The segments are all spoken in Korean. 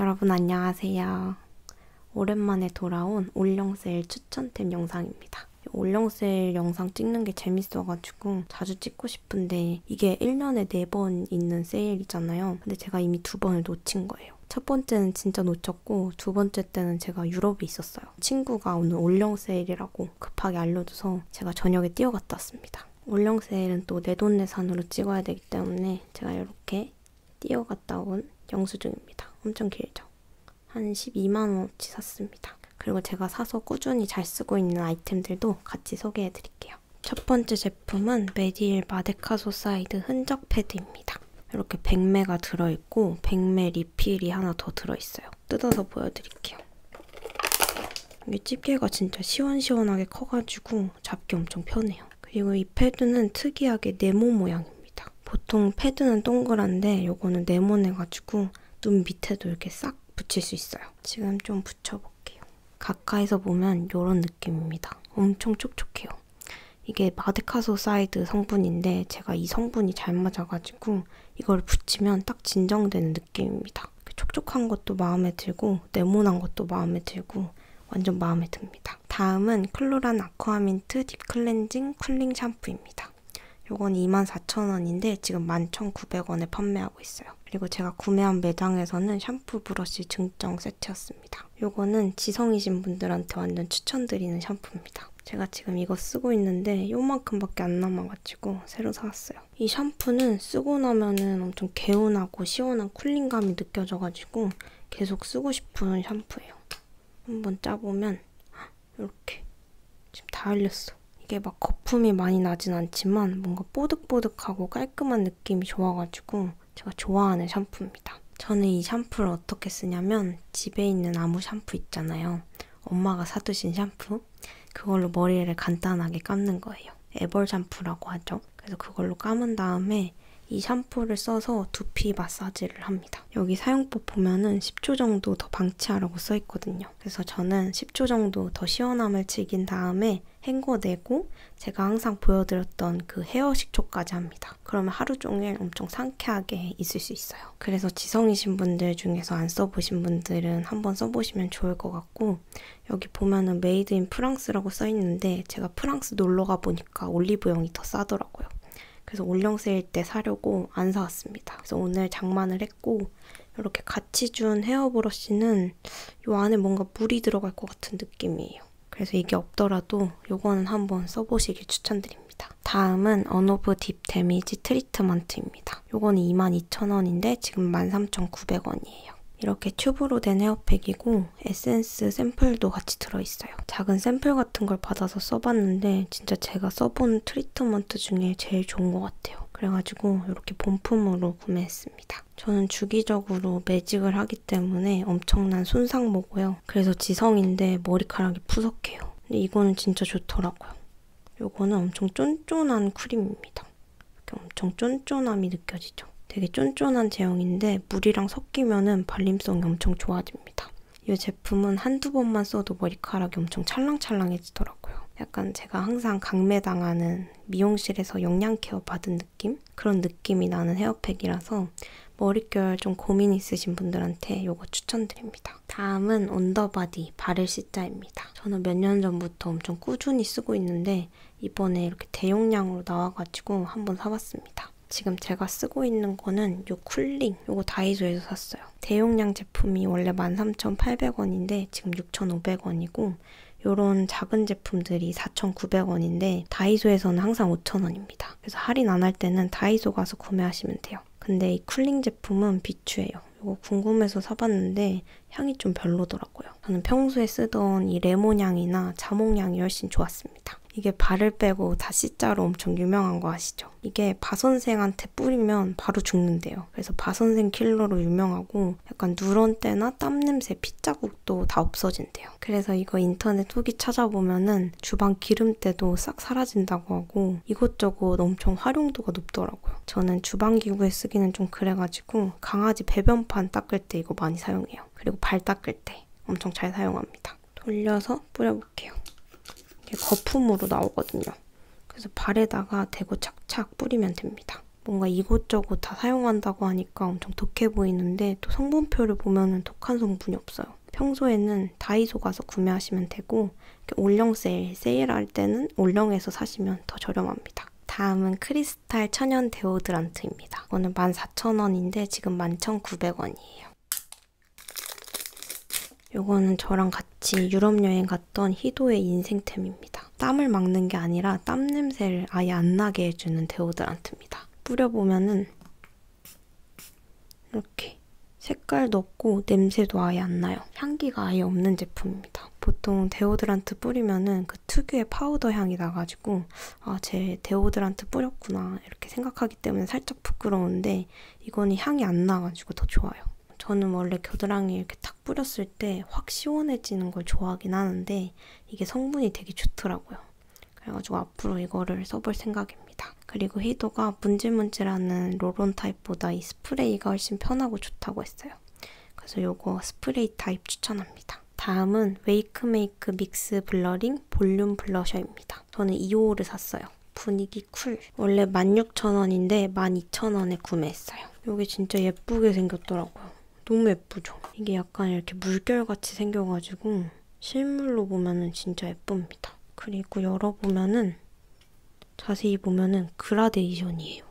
여러분 안녕하세요. 오랜만에 돌아온 올영셀 추천템 영상입니다. 올영셀 영상 찍는 게 재밌어가지고 자주 찍고 싶은데 이게 1년에 4번 있는 세일이잖아요. 근데 제가 이미 두 번을 놓친 거예요. 첫 번째는 진짜 놓쳤고 두 번째 때는 제가 유럽에 있었어요. 친구가 오늘 올영 세일이라고 급하게 알려줘서 제가 저녁에 뛰어갔다 왔습니다. 올영 세일은 또 내돈내산으로 찍어야 되기 때문에 제가 이렇게 뛰어갔다 온 영수증입니다. 엄청 길죠. 한 12만원어치 샀습니다. 그리고 제가 사서 꾸준히 잘 쓰고 있는 아이템들도 같이 소개해 드릴게요. 첫 번째 제품은 메디일 마데카소사이드 흔적 패드입니다. 이렇게 백매가 들어있고 백매 리필이 하나 더 들어있어요. 뜯어서 보여드릴게요. 이게 집게가 진짜 시원시원하게 커가지고 잡기 엄청 편해요. 그리고 이 패드는 특이하게 네모 모양입니다. 보통 패드는 동그란데 요거는 네모내가지고 눈 밑에도 이렇게 싹 붙일 수 있어요. 지금 좀 붙여볼게요. 가까이서 보면 요런 느낌입니다. 엄청 촉촉해요. 이게 마데카소 사이드 성분인데 제가 이 성분이 잘 맞아가지고 이걸 붙이면 딱 진정되는 느낌입니다. 촉촉한 것도 마음에 들고 네모난 것도 마음에 들고 완전 마음에 듭니다. 다음은 클로란 아쿠아민트 딥클렌징 쿨링 샴푸입니다. 요건 24,000원인데 지금 11,900원에 판매하고 있어요. 그리고 제가 구매한 매장에서는 샴푸 브러쉬 증정 세트였습니다. 요거는 지성이신 분들한테 완전 추천드리는 샴푸입니다. 제가 지금 이거 쓰고 있는데 요만큼밖에 안 남아가지고 새로 사왔어요. 이 샴푸는 쓰고 나면은 엄청 개운하고 시원한 쿨링감이 느껴져가지고 계속 쓰고 싶은 샴푸예요. 한번 짜보면 이렇게 지금 다 흘렸어. 이게 막 거품이 많이 나진 않지만 뭔가 뽀득뽀득하고 깔끔한 느낌이 좋아가지고 제가 좋아하는 샴푸입니다. 저는 이 샴푸를 어떻게 쓰냐면 집에 있는 아무 샴푸 있잖아요. 엄마가 사두신 샴푸 그걸로 머리를 간단하게 감는 거예요. 애벌 샴푸라고 하죠. 그래서 그걸로 감은 다음에 이 샴푸를 써서 두피 마사지를 합니다. 여기 사용법 보면은 10초 정도 더 방치하라고 써있거든요. 그래서 저는 10초 정도 더 시원함을 즐긴 다음에 헹궈내고 제가 항상 보여드렸던 그 헤어 식초까지 합니다. 그러면 하루 종일 엄청 상쾌하게 있을 수 있어요. 그래서 지성이신 분들 중에서 안 써보신 분들은 한번 써보시면 좋을 것 같고 여기 보면은 메이드 인 프랑스라고 써 있는데 제가 프랑스 놀러 가 보니까 올리브영이 더 싸더라고요. 그래서 올영 세일 때 사려고 안 사왔습니다. 그래서 오늘 장만을 했고 이렇게 같이 준 헤어 브러쉬는 요 안에 뭔가 물이 들어갈 것 같은 느낌이에요. 그래서 이게 없더라도 요거는 한번 써보시길 추천드립니다. 다음은 언오브 딥 데미지 트리트먼트입니다. 요거는 22,000원인데 지금 13,900원이에요. 이렇게 튜브로 된 헤어팩이고 에센스 샘플도 같이 들어있어요. 작은 샘플 같은 걸 받아서 써봤는데 진짜 제가 써본 트리트먼트 중에 제일 좋은 것 같아요. 그래가지고 이렇게 본품으로 구매했습니다. 저는 주기적으로 매직을 하기 때문에 엄청난 손상모고요. 그래서 지성인데 머리카락이 푸석해요. 근데 이거는 진짜 좋더라고요. 요거는 엄청 쫀쫀한 크림입니다. 엄청 쫀쫀함이 느껴지죠. 되게 쫀쫀한 제형인데 물이랑 섞이면은 발림성이 엄청 좋아집니다. 이 제품은 한두 번만 써도 머리카락이 엄청 찰랑찰랑해지더라고요. 약간 제가 항상 강매당하는 미용실에서 영양 케어 받은 느낌? 그런 느낌이 나는 헤어팩이라서 머릿결 좀 고민 있으신 분들한테 이거 추천드립니다. 다음은 언더바디 바를 C자입니다. 저는 몇 년 전부터 엄청 꾸준히 쓰고 있는데 이번에 이렇게 대용량으로 나와가지고 한번 사봤습니다. 지금 제가 쓰고 있는 거는 요 쿨링, 요거 다이소에서 샀어요. 대용량 제품이 원래 13,800원인데 지금 6,500원이고 요런 작은 제품들이 4,900원인데 다이소에서는 항상 5,000원입니다. 그래서 할인 안 할 때는 다이소 가서 구매하시면 돼요. 근데 이 쿨링 제품은 비추예요. 이거 궁금해서 사봤는데 향이 좀 별로더라고요. 저는 평소에 쓰던 이 레몬 향이나 자몽 향이 훨씬 좋았습니다. 이게 발을 빼고 다 C자로 엄청 유명한 거 아시죠? 이게 바선생한테 뿌리면 바로 죽는데요. 그래서 바선생 킬러로 유명하고 약간 누런 때나 땀 냄새, 핏자국도 다 없어진대요. 그래서 이거 인터넷 후기 찾아보면은 주방 기름때도 싹 사라진다고 하고 이것저것 엄청 활용도가 높더라고요. 저는 주방 기구에 쓰기는 좀 그래가지고 보통 강아지 배변판 닦을 때 이거 많이 사용해요. 그리고 발 닦을 때 엄청 잘 사용합니다. 돌려서 뿌려볼게요. 이게 거품으로 나오거든요. 그래서 발에다가 대고 착착 뿌리면 됩니다. 뭔가 이곳저곳 다 사용한다고 하니까 엄청 독해 보이는데 또 성분표를 보면은 독한 성분이 없어요. 평소에는 다이소 가서 구매하시면 되고 올영 세일, 세일할 때는 올영에서 사시면 더 저렴합니다. 다음은 크리스 크리스탈 천연 데오드란트입니다. 이거는 14,000원인데 지금 11,900원이에요. 요거는 저랑 같이 유럽 여행 갔던 희도의 인생템입니다. 땀을 막는 게 아니라 땀 냄새를 아예 안 나게 해주는 데오드란트입니다. 뿌려보면은 이렇게 색깔도 없고 냄새도 아예 안 나요. 향기가 아예 없는 제품입니다. 보통 데오드란트 뿌리면은 그그 특유의 파우더 향이 나가지고 아, 제 데오드란트 뿌렸구나 이렇게 생각하기 때문에 살짝 부끄러운데 이거는 향이 안 나가지고 더 좋아요. 저는 원래 겨드랑이 이렇게 탁 뿌렸을 때 확 시원해지는 걸 좋아하긴 하는데 이게 성분이 되게 좋더라고요. 그래가지고 앞으로 이거를 써볼 생각입니다. 그리고 히도가 문질문질하는 롤온 타입보다 이 스프레이가 훨씬 편하고 좋다고 했어요. 그래서 요거 스프레이 타입 추천합니다. 다음은 웨이크메이크 믹스 블러링 볼륨 블러셔입니다. 저는 2호를 샀어요. 분위기 쿨. 원래 16,000원인데 12,000원에 구매했어요. 요게 진짜 예쁘게 생겼더라고요. 너무 예쁘죠? 이게 약간 이렇게 물결같이 생겨가지고 실물로 보면은 진짜 예쁩니다. 그리고 열어보면은 자세히 보면은 그라데이션이에요.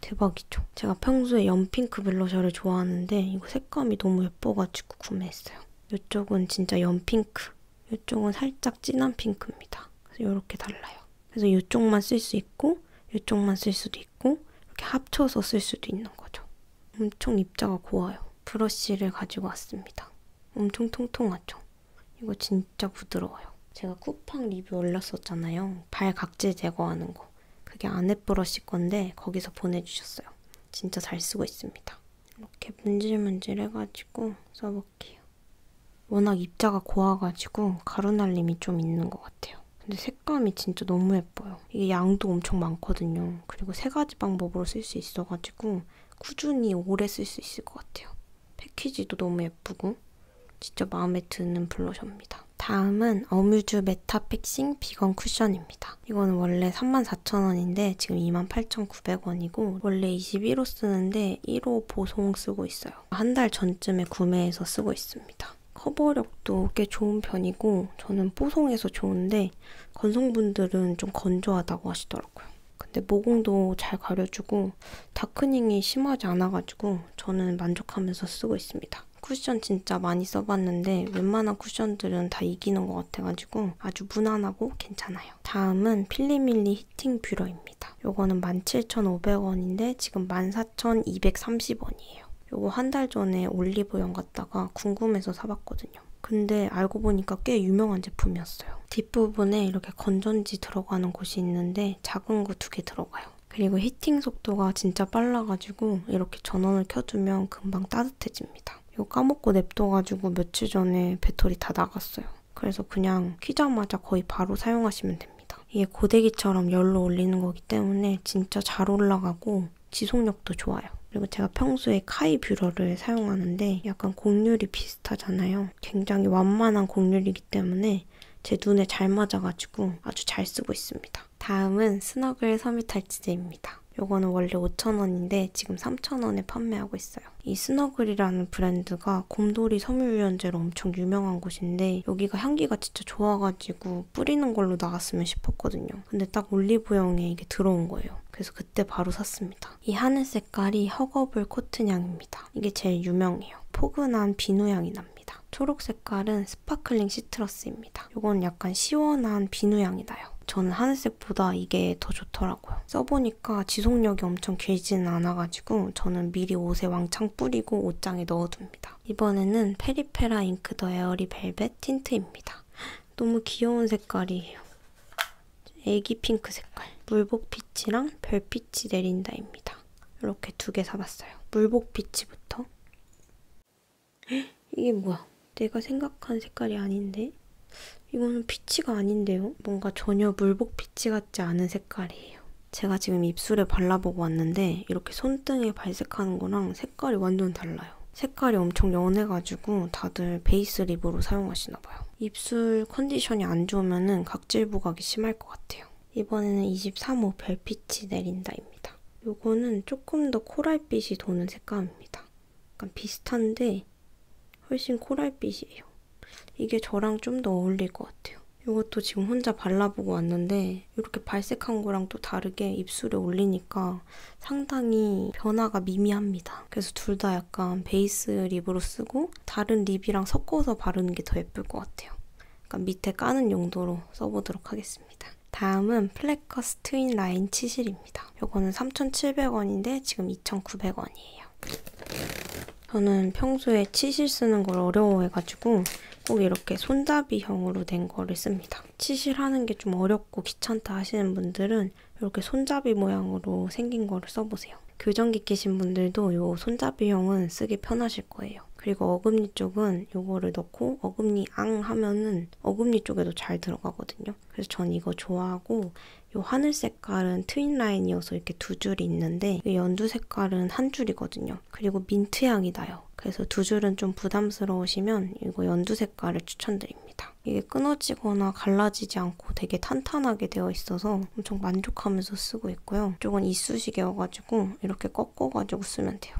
대박이죠. 제가 평소에 연핑크 블러셔를 좋아하는데 이거 색감이 너무 예뻐가지고 구매했어요. 이쪽은 진짜 연핑크, 이쪽은 살짝 진한 핑크입니다. 그래서 이렇게 달라요. 그래서 이쪽만 쓸 수 있고 이쪽만 쓸 수도 있고 이렇게 합쳐서 쓸 수도 있는 거죠. 엄청 입자가 고와요. 브러쉬를 가지고 왔습니다. 엄청 통통하죠? 이거 진짜 부드러워요. 제가 쿠팡 리뷰 올렸었잖아요. 발 각질 제거하는 거. 그게 아네브러쉬 건데 거기서 보내주셨어요. 진짜 잘 쓰고 있습니다. 이렇게 문질문질 해가지고 써볼게요. 워낙 입자가 고와가지고 가루날림이 좀 있는 것 같아요. 근데 색감이 진짜 너무 예뻐요. 이게 양도 엄청 많거든요. 그리고 세 가지 방법으로 쓸 수 있어가지고 꾸준히 오래 쓸 수 있을 것 같아요. 패키지도 너무 예쁘고 진짜 마음에 드는 블러셔입니다. 다음은 어뮤즈 메타픽싱 비건 쿠션입니다. 이건 원래 34,000원인데 지금 28,900원이고 원래 21호 쓰는데 1호 보송 쓰고 있어요. 한 달 전쯤에 구매해서 쓰고 있습니다. 커버력도 꽤 좋은 편이고 저는 뽀송해서 좋은데 건성분들은 좀 건조하다고 하시더라고요. 근데 모공도 잘 가려주고 다크닝이 심하지 않아가지고 저는 만족하면서 쓰고 있습니다. 쿠션 진짜 많이 써봤는데 웬만한 쿠션들은 다 이기는 것 같아가지고 아주 무난하고 괜찮아요. 다음은 필리밀리 히팅 뷰러입니다. 요거는 17,500원인데 지금 14,230원이에요. 요거 한 달 전에 올리브영 갔다가 궁금해서 사봤거든요. 근데 알고 보니까 꽤 유명한 제품이었어요. 뒷부분에 이렇게 건전지 들어가는 곳이 있는데 작은 거 두 개 들어가요. 그리고 히팅 속도가 진짜 빨라가지고 이렇게 전원을 켜두면 금방 따뜻해집니다. 이거 까먹고 냅둬가지고 며칠 전에 배터리 다 나갔어요. 그래서 그냥 키자마자 거의 바로 사용하시면 됩니다. 이게 고데기처럼 열로 올리는 거기 때문에 진짜 잘 올라가고 지속력도 좋아요. 그리고 제가 평소에 카이 뷰러를 사용하는데 약간 곡률이 비슷하잖아요. 굉장히 완만한 곡률이기 때문에 제 눈에 잘 맞아가지고 아주 잘 쓰고 있습니다. 다음은 스너글 섬유탈취제입니다. 요거는 원래 5,000원인데 지금 3,000원에 판매하고 있어요. 이 스너글이라는 브랜드가 곰돌이 섬유유연제로 엄청 유명한 곳인데 여기가 향기가 진짜 좋아가지고 뿌리는 걸로 나왔으면 싶었거든요. 근데 딱 올리브영에 이게 들어온 거예요. 그래서 그때 바로 샀습니다. 이 하늘 색깔이 허거블 코튼 향입니다. 이게 제일 유명해요. 포근한 비누 향이 납니다. 합니다. 초록 색깔은 스파클링 시트러스입니다. 이건 약간 시원한 비누향이 나요. 저는 하늘색보다 이게 더 좋더라고요. 써보니까 지속력이 엄청 길지는 않아가지고 저는 미리 옷에 왕창 뿌리고 옷장에 넣어둡니다. 이번에는 페리페라 잉크 더 에어리 벨벳 틴트입니다. 너무 귀여운 색깔이에요. 애기 핑크 색깔, 물복 피치랑 별빛이 내린다입니다. 이렇게 두 개 사봤어요. 물복 비치부터. 헉, 이게 뭐야? 내가 생각한 색깔이 아닌데? 이거는 피치가 아닌데요? 뭔가 전혀 물복 피치 같지 않은 색깔이에요. 제가 지금 입술에 발라보고 왔는데 이렇게 손등에 발색하는 거랑 색깔이 완전 달라요. 색깔이 엄청 연해가지고 다들 베이스 립으로 사용하시나봐요. 입술 컨디션이 안 좋으면 각질 부각이 심할 것 같아요. 이번에는 23호 별빛이 내린다입니다. 요거는 조금 더 코랄빛이 도는 색감입니다. 약간 비슷한데 훨씬 코랄빛이에요. 이게 저랑 좀 더 어울릴 것 같아요. 이것도 지금 혼자 발라보고 왔는데 이렇게 발색한 거랑 또 다르게 입술에 올리니까 상당히 변화가 미미합니다. 그래서 둘 다 약간 베이스 립으로 쓰고 립이랑 다른 립이랑 섞어서 바르는 게 더 예쁠 것 같아요. 그러니까 밑에 까는 용도로 써보도록 하겠습니다. 다음은 플래커스 트윈 라인 치실입니다. 이거는 3,700원인데 지금 2,900원이에요. 저는 평소에 치실 쓰는 걸 어려워해가지고 꼭 이렇게 손잡이형으로 된 거를 씁니다. 치실하는 게 좀 어렵고 귀찮다 하시는 분들은 이렇게 손잡이 모양으로 생긴 거를 써보세요. 써보세요. 교정기 끼신 분들도 요 손잡이형은 쓰기 편하실 거예요. 그리고 어금니 쪽은 요거를 넣고 어금니 앙 하면은 어금니 쪽에도 잘 들어가거든요. 그래서 전 이거 좋아하고 요 하늘 색깔은 트윈 라인이어서 이렇게 두 줄이 있는데 연두 색깔은 한 줄이거든요. 그리고 민트 향이 나요. 그래서 두 줄은 좀 부담스러우시면 이거 연두 색깔을 추천드립니다. 이게 끊어지거나 갈라지지 않고 않고 되게 탄탄하게 되어 있어서 엄청 만족하면서 쓰고 있고요. 이쪽은 이쑤시개여가지고 이렇게 꺾어가지고 쓰면 돼요.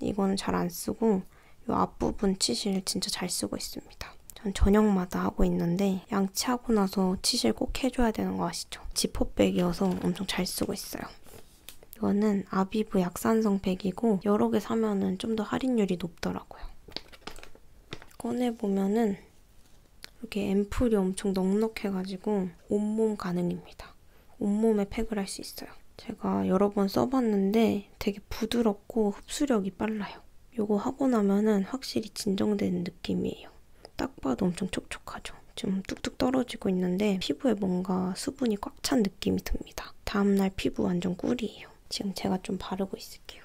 이거는 잘 안 쓰고 이 앞부분 치실 진짜 잘 쓰고 있습니다. 전 저녁마다 하고 있는데 양치하고 나서 치실 꼭 해줘야 되는 거 아시죠? 지퍼백이어서 엄청 잘 쓰고 있어요. 이거는 아비브 약산성 백이고 여러 개 사면은 좀 더 할인율이 높더라고요. 꺼내보면은 이렇게 앰플이 엄청 넉넉해가지고 온몸 가능입니다. 온몸에 팩을 할 수 있어요. 제가 여러 번 써봤는데 되게 부드럽고 흡수력이 빨라요. 이거 하고 나면은 확실히 진정되는 느낌이에요. 딱 봐도 엄청 촉촉하죠. 좀 뚝뚝 떨어지고 있는데 피부에 뭔가 수분이 꽉 찬 느낌이 듭니다. 다음날 피부 완전 꿀이에요. 지금 제가 좀 바르고 있을게요.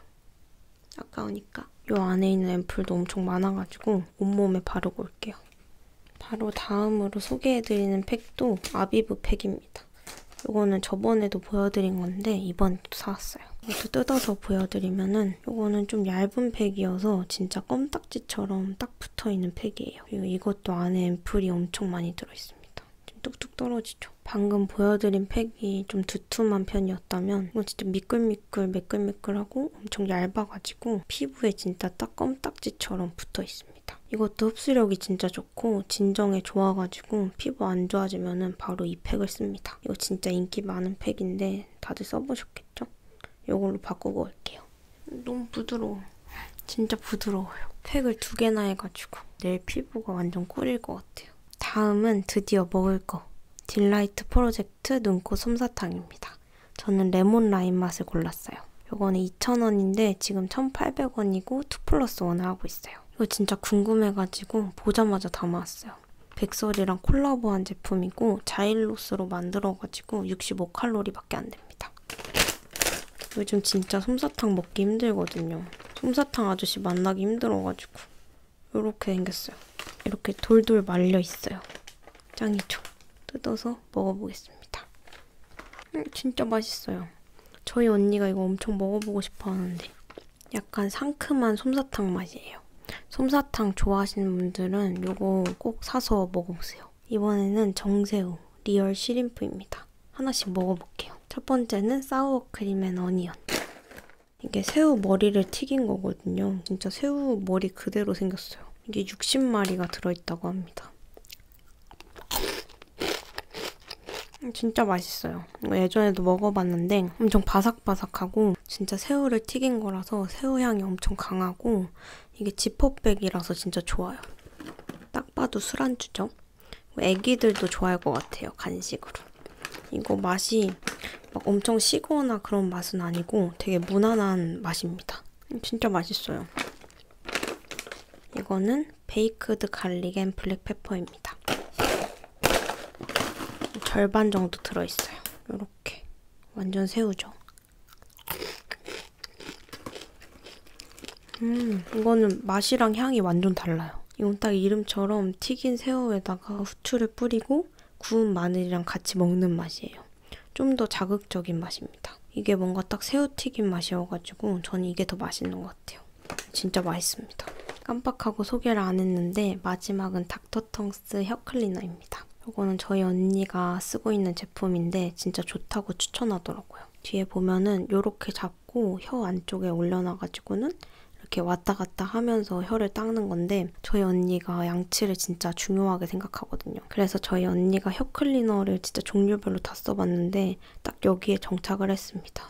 아까우니까. 요 안에 있는 앰플도 엄청 많아가지고 온몸에 바르고 올게요. 바로 다음으로 소개해드리는 팩도 아비브 팩입니다. 요거는 저번에도 보여드린 건데 이번에도 사왔어요. 이것도 뜯어서 보여드리면은 요거는 좀 얇은 팩이어서 진짜 껌딱지처럼 딱 붙어있는 팩이에요. 그리고 이것도 안에 앰플이 엄청 많이 들어있습니다. 좀 뚝뚝 떨어지죠. 방금 보여드린 팩이 좀 두툼한 편이었다면 이건 진짜 미끌미끌 매끌매끌 매끌매끌하고 엄청 얇아가지고 피부에 진짜 딱 껌딱지처럼 붙어 있습니다. 이것도 흡수력이 진짜 좋고 진정에 좋아가지고 피부 안 좋아지면 은 바로 이 팩을 씁니다. 이거 진짜 인기 많은 팩인데 다들 써보셨겠죠? 이걸로 바꾸고 올게요. 너무 부드러워. 진짜 부드러워요. 팩을 두 개나 해가지고 내일 피부가 완전 꿀일 것 같아요. 다음은 드디어 먹을 거. 딜라이트 프로젝트 눈코 솜사탕입니다. 저는 레몬 라임 맛을 골랐어요. 요거는 2,000원인데 지금 1,800원이고 2 플러스 1을 하고 있어요. 이거 진짜 궁금해가지고 보자마자 담아왔어요. 백설이랑 콜라보한 제품이고 자일로스로 만들어가지고 65칼로리밖에 안 됩니다. 요즘 진짜 솜사탕 먹기 힘들거든요. 솜사탕 아저씨 만나기 힘들어가지고 이렇게 생겼어요. 이렇게 돌돌 말려 있어요. 짱이죠? 뜯어서 먹어보겠습니다. 음, 진짜 맛있어요. 저희 언니가 이거 엄청 먹어보고 싶어 하는데 약간 상큼한 솜사탕 맛이에요. 솜사탕 좋아하시는 분들은 이거 꼭 사서 먹어보세요. 이번에는 정새우 리얼 시림프입니다. 하나씩 먹어볼게요. 첫 번째는 사우어 크림 앤 어니언. 이게 새우 머리를 튀긴 거거든요. 진짜 새우 머리 그대로 생겼어요. 이게 60마리가 들어있다고 합니다. 음, 진짜 맛있어요. 예전에도 먹어봤는데 엄청 바삭바삭하고 진짜 새우를 튀긴 거라서 새우 향이 엄청 강하고 이게 지퍼백이라서 진짜 좋아요. 딱 봐도 술안주죠? 애기들도 좋아할 것 같아요, 간식으로. 이거 맛이 막 엄청 시거나 그런 맛은 아니고 되게 무난한 맛입니다. 진짜 맛있어요. 이거는 베이크드 갈릭 앤 블랙페퍼입니다. 절반 정도 들어있어요. 이렇게 완전 새우죠. 음, 이거는 맛이랑 향이 완전 달라요. 이건 딱 이름처럼 튀긴 새우에다가 후추를 뿌리고 그리고 구운 마늘이랑 같이 먹는 맛이에요. 좀 더 자극적인 맛입니다. 이게 뭔가 딱 새우튀김 맛이어가지고 저는 이게 더 맛있는 것 같아요. 진짜 맛있습니다. 깜빡하고 소개를 안 했는데 마지막은 닥터텅스 혀클리너입니다. 이거는 저희 언니가 쓰고 있는 제품인데 진짜 좋다고 추천하더라고요. 뒤에 보면은 이렇게 잡고 혀 안쪽에 올려놔가지고는 이렇게 왔다 갔다 하면서 혀를 닦는 건데 저희 언니가 양치를 진짜 중요하게 생각하거든요. 그래서 저희 언니가 혀 클리너를 진짜 종류별로 다 써봤는데 딱 여기에 정착을 했습니다.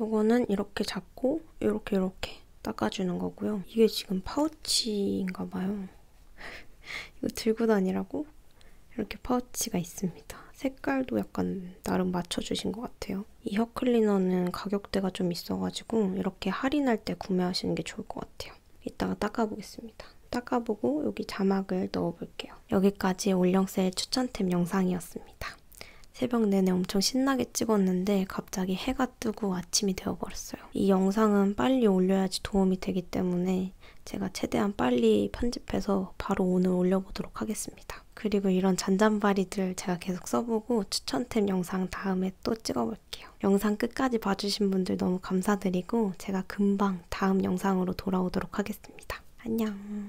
요거는 이렇게 잡고 이렇게 이렇게 닦아주는 거고요. 이게 지금 파우치인가 봐요. 이거 들고 다니라고? 이렇게 파우치가 있습니다. 색깔도 약간 나름 맞춰주신 것 같아요. 이 혀클리너는 가격대가 좀 있어가지고 이렇게 할인할 때 구매하시는 게 좋을 것 같아요. 이따가 닦아보겠습니다. 닦아보고 여기 자막을 넣어볼게요. 여기까지 올영셀 추천템 영상이었습니다. 새벽 내내 엄청 신나게 찍었는데 갑자기 해가 뜨고 아침이 되어버렸어요. 이 영상은 빨리 올려야지 도움이 되기 때문에 제가 최대한 빨리 편집해서 바로 오늘 올려보도록 하겠습니다. 그리고 이런 잔잔바리들 제가 계속 써보고 추천템 영상 다음에 또 찍어볼게요. 영상 끝까지 봐주신 분들 너무 감사드리고 제가 금방 다음 영상으로 돌아오도록 하겠습니다. 안녕.